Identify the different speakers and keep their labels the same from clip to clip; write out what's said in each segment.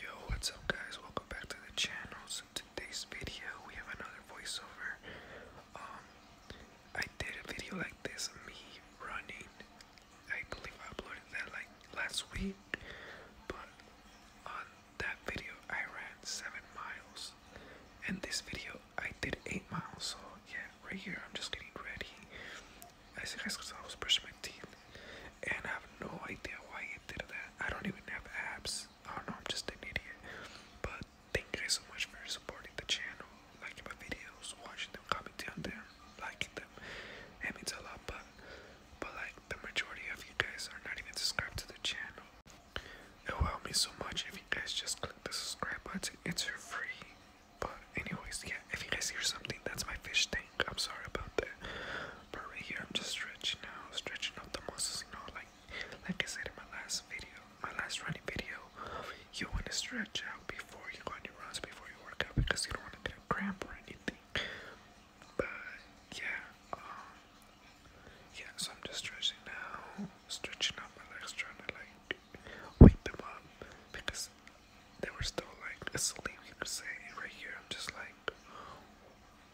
Speaker 1: Yo, what's up guys? Welcome back to the channel. So today's video we have another voiceover. Um I did a video like this, me running. I believe I uploaded that like last week. But on that video I ran seven miles. And this video I did eight miles, so yeah, right here I'm just getting ready. I said, guys because I was brushing my teeth, and I have no idea why it did that. I don't even have abs. Oh no, I'm just an idiot. But thank you guys so much for supporting the channel, liking my videos, watching them, commenting on them, liking them. It means a lot. But but like the majority of you guys are not even subscribed to the channel. It will help me so much if you guys just click the subscribe button. It's free. But anyways, yeah, if you guys hear something, that's my fish tank. I'm sorry about that. But right here, I'm just stretching out, stretching out the muscles, you know, like like I said in my last video, my last running video, you want to stretch out before you go on your runs, before you work out, because you don't want to get a cramp or anything. But yeah, um, yeah, so I'm just stretching now, stretching out my legs, trying to like wake them up, because they were still like asleep, you could say. And right here, I'm just like,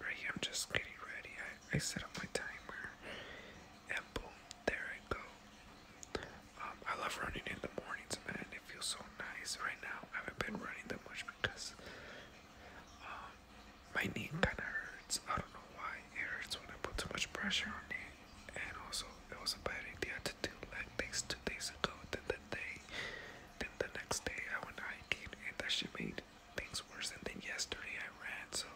Speaker 1: right here, I'm just getting ready. I, I set up my timer, and boom, there I go. Um, I love running in the mornings, man. It feels so nice. Right now, I haven't been running that much because um, my knee kind of hurts. I don't know why it hurts when I put too much pressure on it. And also, it was a bad idea to do leg two days ago, then the day, then the next day I went hiking, and that should made things worse. And then yesterday I ran, so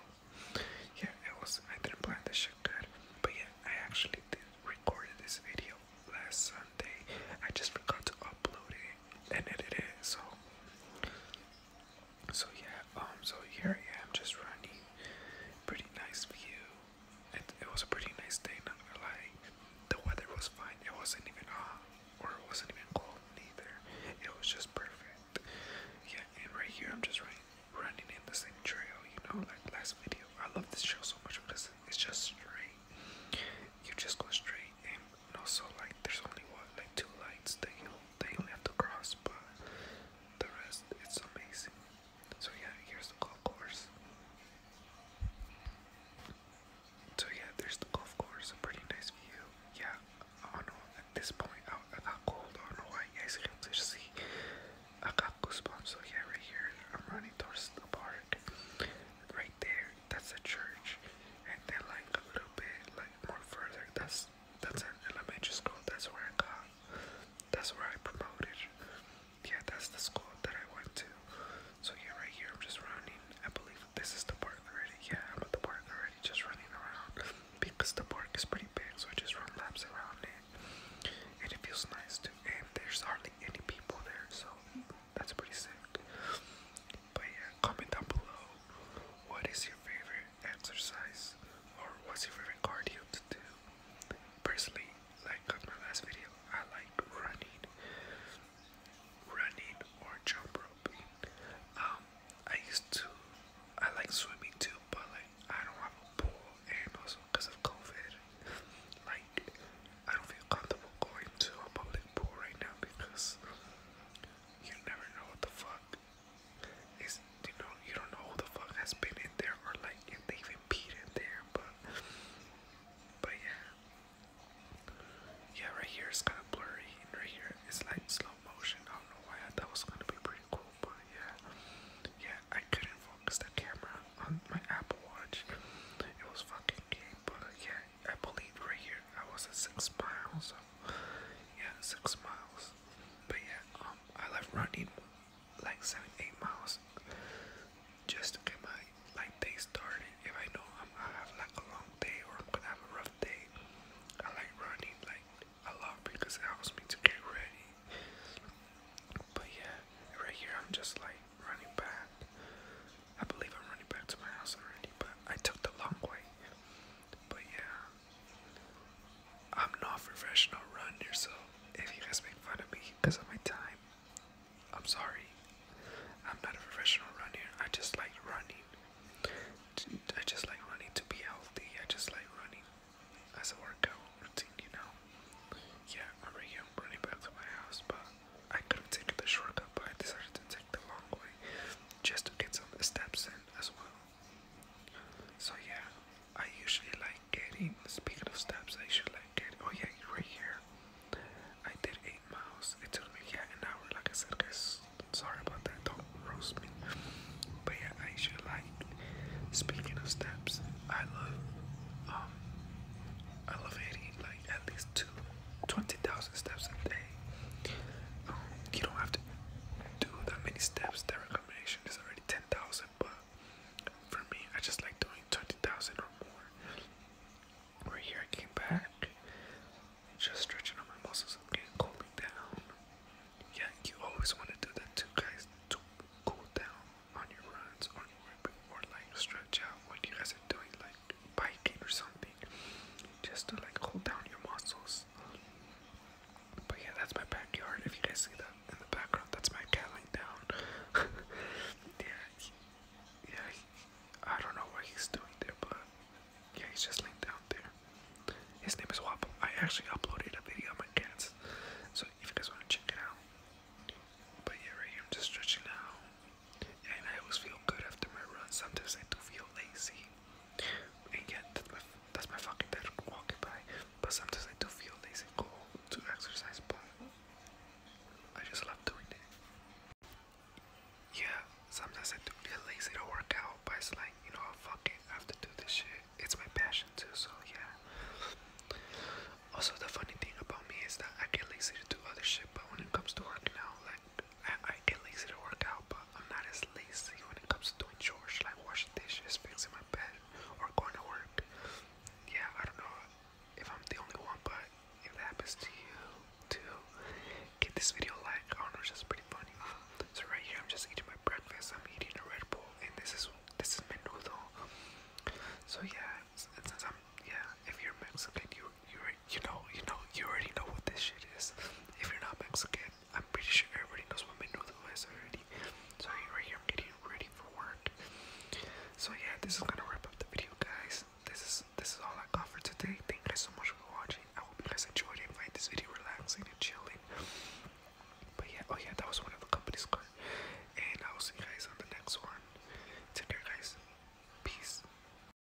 Speaker 1: yeah, it was I didn't plan this shit good, but yeah, I actually did record this video last Sunday. I just forgot to upload it and edit it, so so yeah, um, so here I am just running. Pretty nice view. It, it was a pretty nice day, not The weather was fine. It wasn't even hot, or it wasn't even cold neither. It was just perfect. Yeah, and right here I'm just running, running in the same trail, you know, like last video. I love this trail so much because it's just straight. You just go straight, and also like there's only what like two lights that you that you have to cross, but the rest it's amazing. So yeah, here's the golf course. So yeah, there's the golf course, a pretty nice view. Yeah, I know, at this point, I, I got cold, I know why guys can't just see. I got goosebumps, so yeah, right here, I'm running towards the park. Right there, that's a church. And then like a little bit, like more further, that's, that's an elementary school, that's where I got, that's where I promoted yeah, that's the school that I went to. So yeah, right here I'm just running. I believe this is the park already. Yeah, I'm at the park already, just running around because the park is pretty big, so I just run laps around it, and it feels nice too. And there's hardly any people there, so that's pretty sick. But yeah, comment down below what is your favorite exercise or what's your favorite cardio to do personally, like on my last video, I like running, running or jump roping. Um, I used to, I like swimming too, but like I don't have a pool, and also because of COVID, like I don't feel comfortable going to a public pool right now because you never know what the fuck it's you know you don't know who the fuck has been in there or like if they even peed in there, but but yeah, yeah. Right here kind of blurry, right here it's like slow motion. I don't know why I thought it was gonna be pretty cool, but yeah, yeah. I couldn't focus the camera on my Apple Watch. It was fucking game, but yeah. I believe right here I was at six miles. So yeah, six miles. But yeah, um, I left running like seven, eight miles just to get my like day started. If I know I'm gonna have like a long day or I'm gonna have a rough day, I like running like a lot because it helps me to get ready. But yeah, right here I'm just like running back. I believe I'm running back to my house already, but I took the long way. But yeah, I'm not a professional runner, so if you guys make fun of me because of my time, I'm sorry. I'm not a professional runner. I just like running. I just like running to be healthy. I just like running as a workout routine, you know. Yeah, I'm right here. I'm running back to my house, but I could have taken the shortcut, but I decided to take the long way just to get some steps in as well. So yeah, I usually like getting, speaking of steps, I usually like getting, oh yeah, right here. I did 8 miles, it took me, yeah, an hour, like I said guys, sorry about that, don't roast me. But yeah, I usually like, speaking of steps, I love, um, I love hitting like at least two, twenty thousand steps a day. Um, you don't have to do that many steps. That recommendation is already 10,000, but for me, I just like doing 20,000 or more. Right here, I came back, just stretching out my muscles and getting cooling down. Yeah, you always want to do that guys, to cool down on your runs or, or like stretch out when you guys are doing like biking or something, just to like cool down your muscles. But yeah, that's my backyard. If you guys see that in the background, that's my cat laying down. yeah, yeah. I don't know what he's doing there, but yeah, he's just laying down there. His name is Wobble. I actually uploaded a video of my cats, so if you guys want to check it out. But yeah, right here I'm just stretching out, and I always feel good after my run. Sometimes I do feel lazy, and yet, that's my, that's my fucking bed walking by. But sometimes I do feel lazy and cool to exercise, but I just love doing it. Yeah, sometimes I do feel lazy to work out, but it's like, you know, fuck it, I have to do this shit. It's my passion too, so yeah. Also, the funny thing about me is that I get lazy to do other shit, but when it comes to work now, like, I, get lazy to work out, but I'm not as lazy when it comes to doing chores like washing dishes, fixing my bed, or going to work. Yeah, I don't know if I'm the only one, but if that happens to you too, give this video like. I do know, it's just pretty funny. So right here, I'm just eating my breakfast. I'm eating a Red Bull, and this is this is menudo. So yeah, since I'm yeah, if you're Mexican, you you you know you know you already know what this shit is. If you're not Mexican, I'm pretty sure everybody knows what menudo is already. So right here, getting ready for work. So yeah, this is gonna wrap up the video, guys. This is this is all I got for today. Thank you guys so much for watching. I hope you guys enjoyed and Find this video relaxing and chilling. But yeah, oh yeah, that was one of the company's car. And I will see you guys on the next one. Take care, guys. Peace.